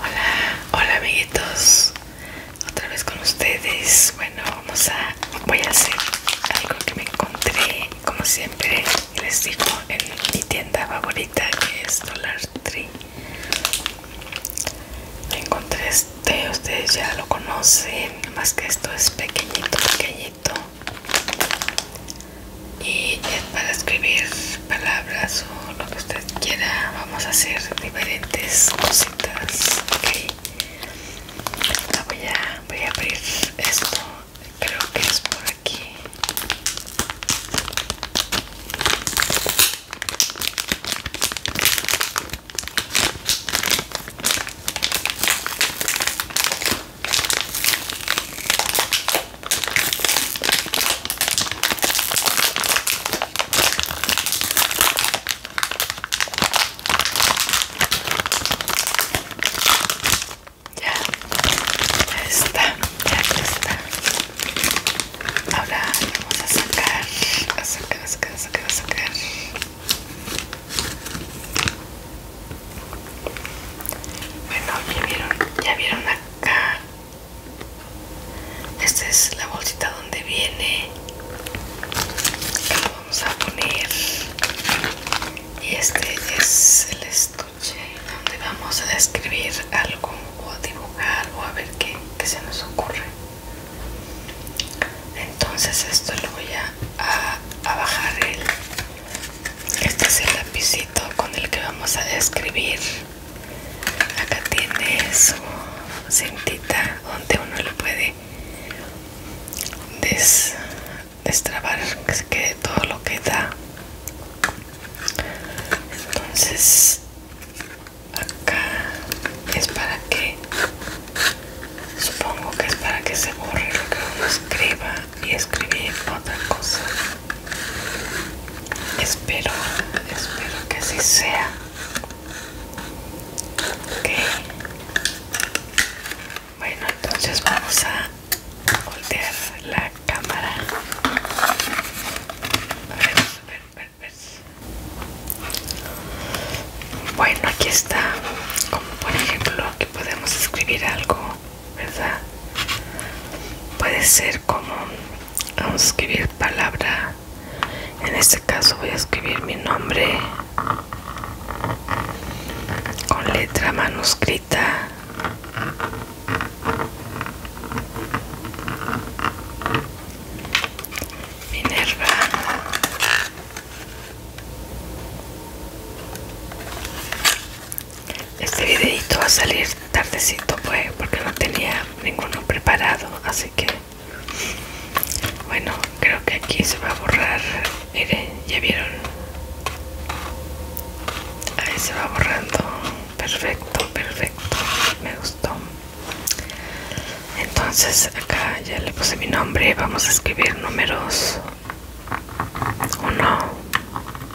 Hola, hola amiguitos, otra vez con ustedes. Bueno, vamos a, voy a hacer algo que me encontré, como siempre les digo, en mi tienda favorita que es Dollar Tree. Me encontré este, ustedes ya lo conocen, más que esto es pequeñito, pequeñito y es para escribir palabras o lo que usted quiera vamos a hacer diferentes cositas ¿ok? voy voy a abrir esto creo que es por aquí ya, ya está, ya está. Ahora vamos a sacar, a sacar, a sacar, a sacar, a sacar. Bueno, ya vieron, ya vieron acá esta es la bolsita donde viene. vamos a poner. Y este es el estuche donde vamos a escribir algo o a dibujar o a ver qué, se nos ocurre. Entonces esto lo voy a bajar el este es el lapicito con el que vamos a escribir. Acá tiene su cintita donde uno lo puede destrabar que se quede todo lo que da. Entonces acá es para que supongo que es para que se borre lo que uno escriba y escribir otra cosa. Espero, espero que así sea. Ok. Bueno, entonces vamos a voltear la cámara. Bueno, aquí está. Como por ejemplo, aquí podemos escribir algo ¿verdad? Puede ser como vamos a escribir palabra. En este caso voy a escribir mi nombre con letra manuscrita. Minerva. Este videito va a salir tardecito pues porque no tenía ninguno preparado así que bueno creo que aquí se va a borrar miren ya vieron ahí se va borrando perfecto perfecto me gustó entonces acá ya le puse mi nombre vamos a escribir números 1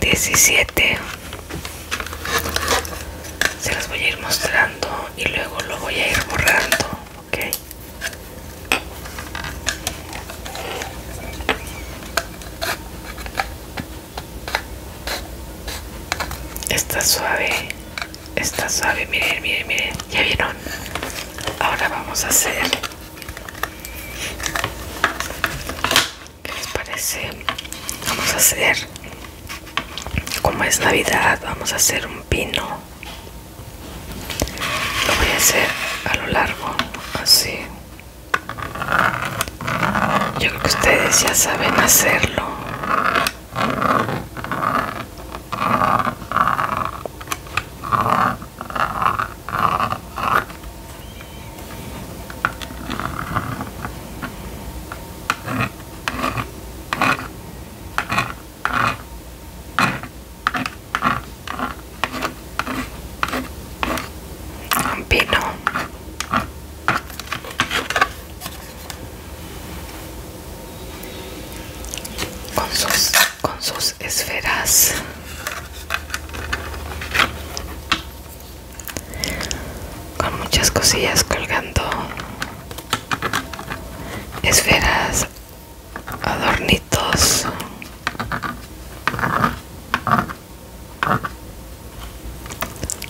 17 se las voy a ir mostrando y luego lo voy a ir borrando ok está suave está suave miren miren miren ya vieron ahora vamos a hacer ¿Qué les parece? Vamos a hacer, como es Navidad, vamos a hacer un pino. Lo voy a hacer a lo largo, así. Yo creo que ustedes ya saben hacerlo. Un Con sus, con sus esferas con muchas cosillas colgando esferas adornitos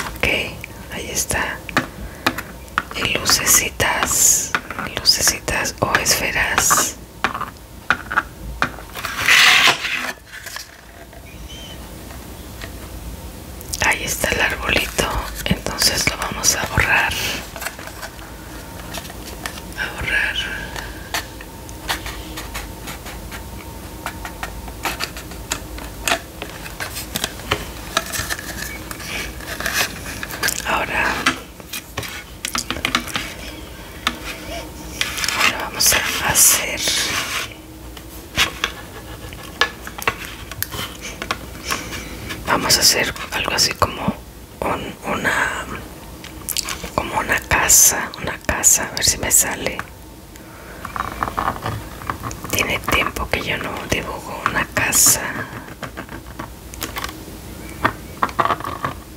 ok ahí está y lucecitas lucecitas o esferas Ahí está el arbolito, entonces lo vamos a borrar. A borrar. Ahora ahora vamos a hacer vamos a hacer algo así como una como una casa una casa a ver si me sale tiene tiempo que yo no dibujo una casa una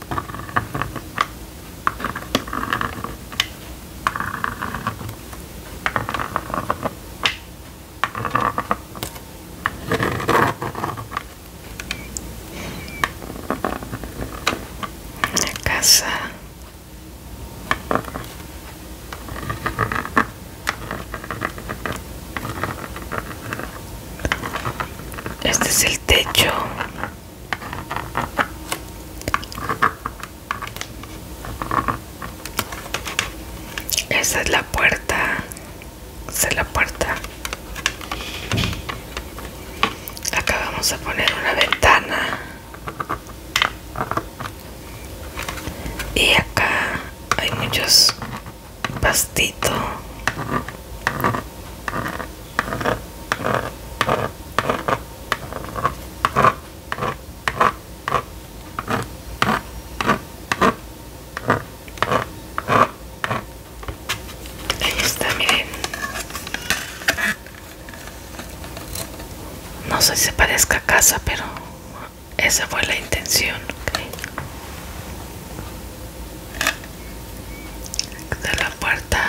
casa este es el techo esa es la puerta. Esa es la puerta. Acá vamos a poner una ventana. Y acá hay muchos pastitos. Ahí está, miren. No sé si se parezca a casa, pero esa fue la intención de la puerta,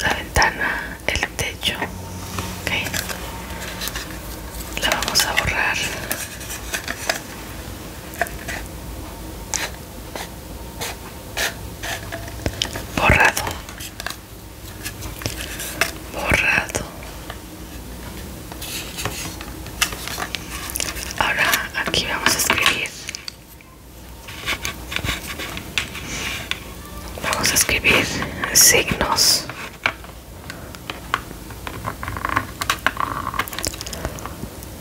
la ventana, el techo. La vamos a borrar. Borrado. Borrado. Ahora aquí vamos a escribir Vamos a escribir signos.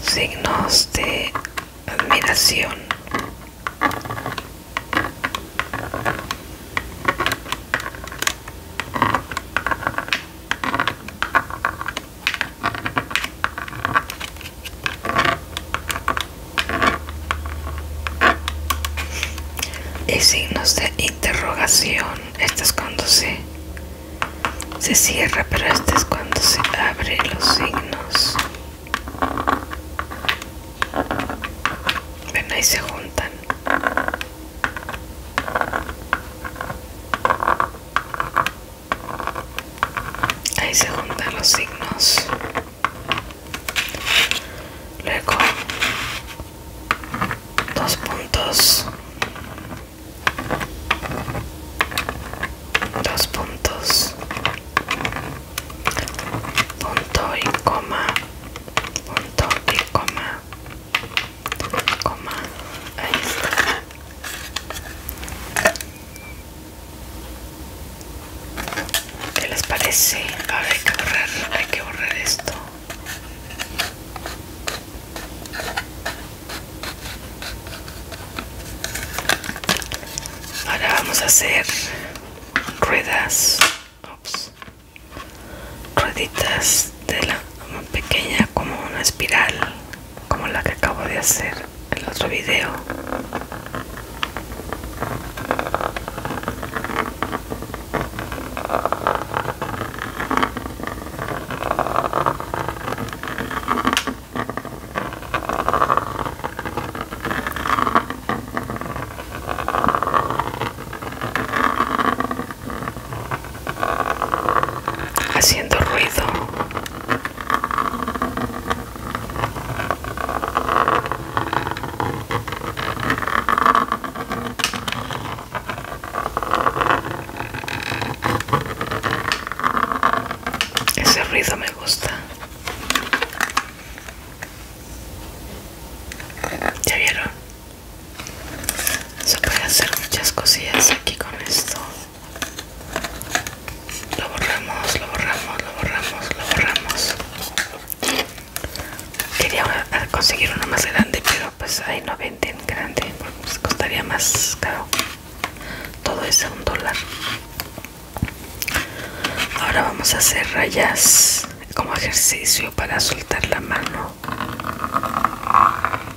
Signos de admiración y signos de interrogación este es cuando se se cierra pero este es cuando se abre los signos ven ahí se juntan ahí se juntan los signos luego dos puntos dos puntos punto y coma punto y coma coma ahí ¿Qué les parece? Ahora hay que borrar, hay que borrar esto. Ahora vamos a hacer ruedas, rueditas de la pequeña como una espiral como la que acabo de hacer el otro video haciendo ruido ese ruido me gusta ya vieron se puede hacer muchas cosillas aquí con esto lo borramos, lo borramos, lo borramos, lo borramos. Quería conseguir uno más grande, pero pues ahí no venden grande, pues, costaría más caro. Todo es un dólar. Ahora vamos a hacer rayas como ejercicio para soltar la mano.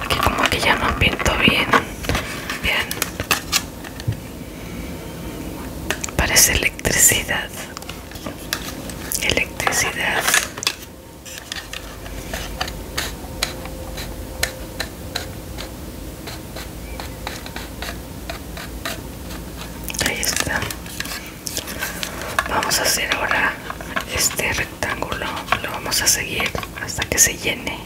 Aquí como que ya no pinto bien. Bien. Parece electricidad. Electricidad ahí está vamos a hacer ahora este rectángulo lo vamos a seguir hasta que se llene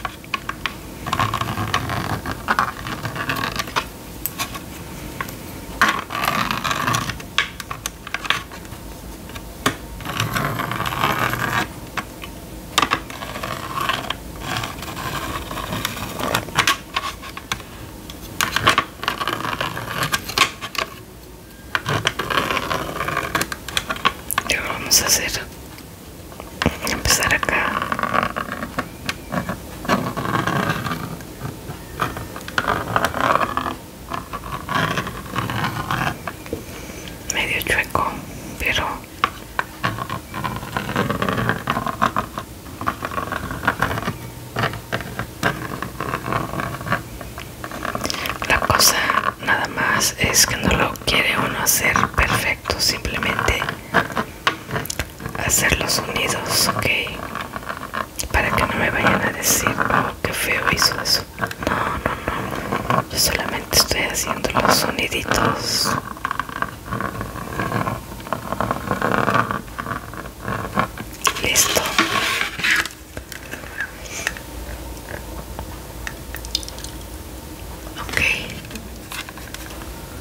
Y ahora vamos a hacer empezar acá medio chueco pero La cosa nada más es que no lo quiere uno hacer perfecto, simplemente hacer los sonidos, ok, para que no me vayan a decir, Que oh, qué feo hizo eso. No, no, no, yo solamente estoy haciendo los soniditos. Listo. Ok.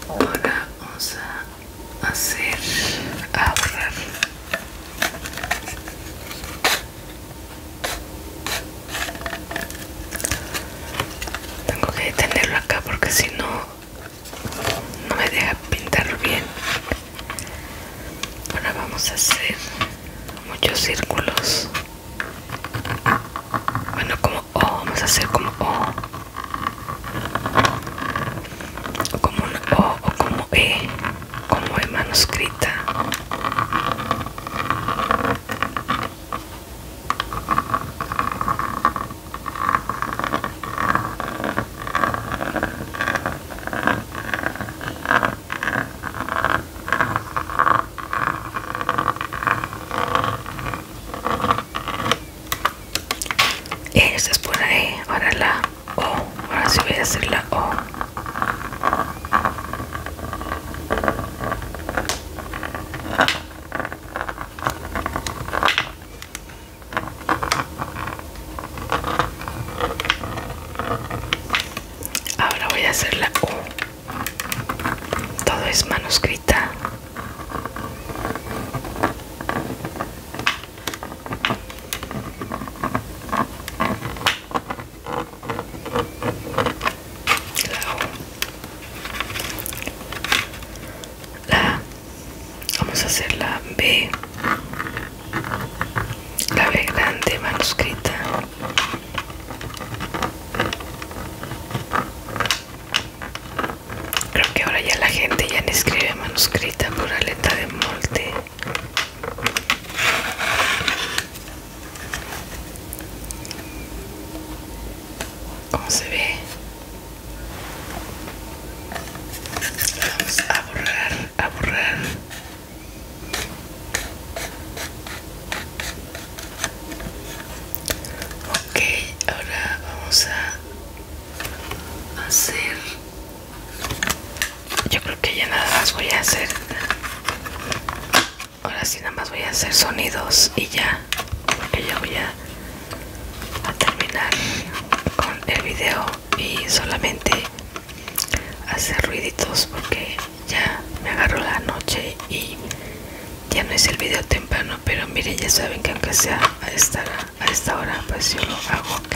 Ahora vamos a hacer ahorrar Tengo que detenerlo acá porque si no no me deja pintar bien ahora vamos a hacer muchos círculos bueno como O vamos a hacer como O o como un O o como E como E manuscrita esta es por ahí, ahora la O, ahora sí voy a hacer la O. Ahora voy a hacer la U. Todo es manuscrita la vamos a hacer la B la B grande manuscrita creo que ahora ya la gente ya no escribe manuscrita por letra de molde ¿Cómo se ve? vamos a borrar, a borrar ok, ahora vamos a hacer yo creo que ya nada más voy a hacer ahora sí nada más voy a hacer sonidos y ya porque ya voy a a terminar con el video y solamente hacer ruiditos porque ya me agarró la noche y ya no hice el video temprano pero miren ya saben que aunque sea a esta, a esta hora pues yo lo hago ok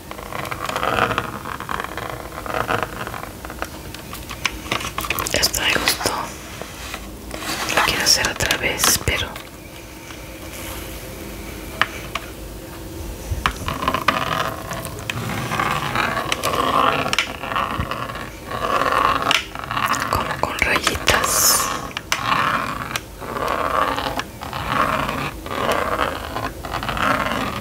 Esto me gustó. Lo quiero hacer otra vez, pero... Como con rayitas.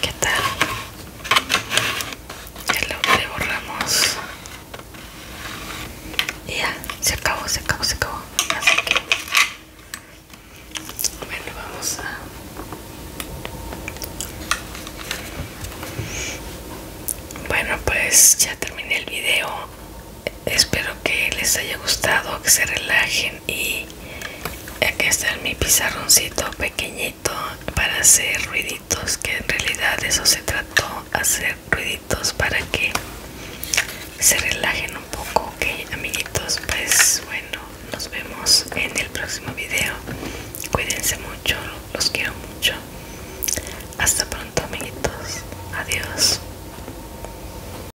¿Qué tal? Ya lo le borramos. Y ya, se acabó, se acabó, se acabó. Así que bueno, vamos a bueno pues ya terminé el video espero que les haya gustado que se relajen y aquí está mi pizarroncito pequeñito para hacer ruiditos que en realidad eso se trató hacer ruiditos para que se relajen un poco ok amiguitos pues bueno nos vemos en el próximo video cuídense mucho los quiero mucho hasta pronto amiguitos adiós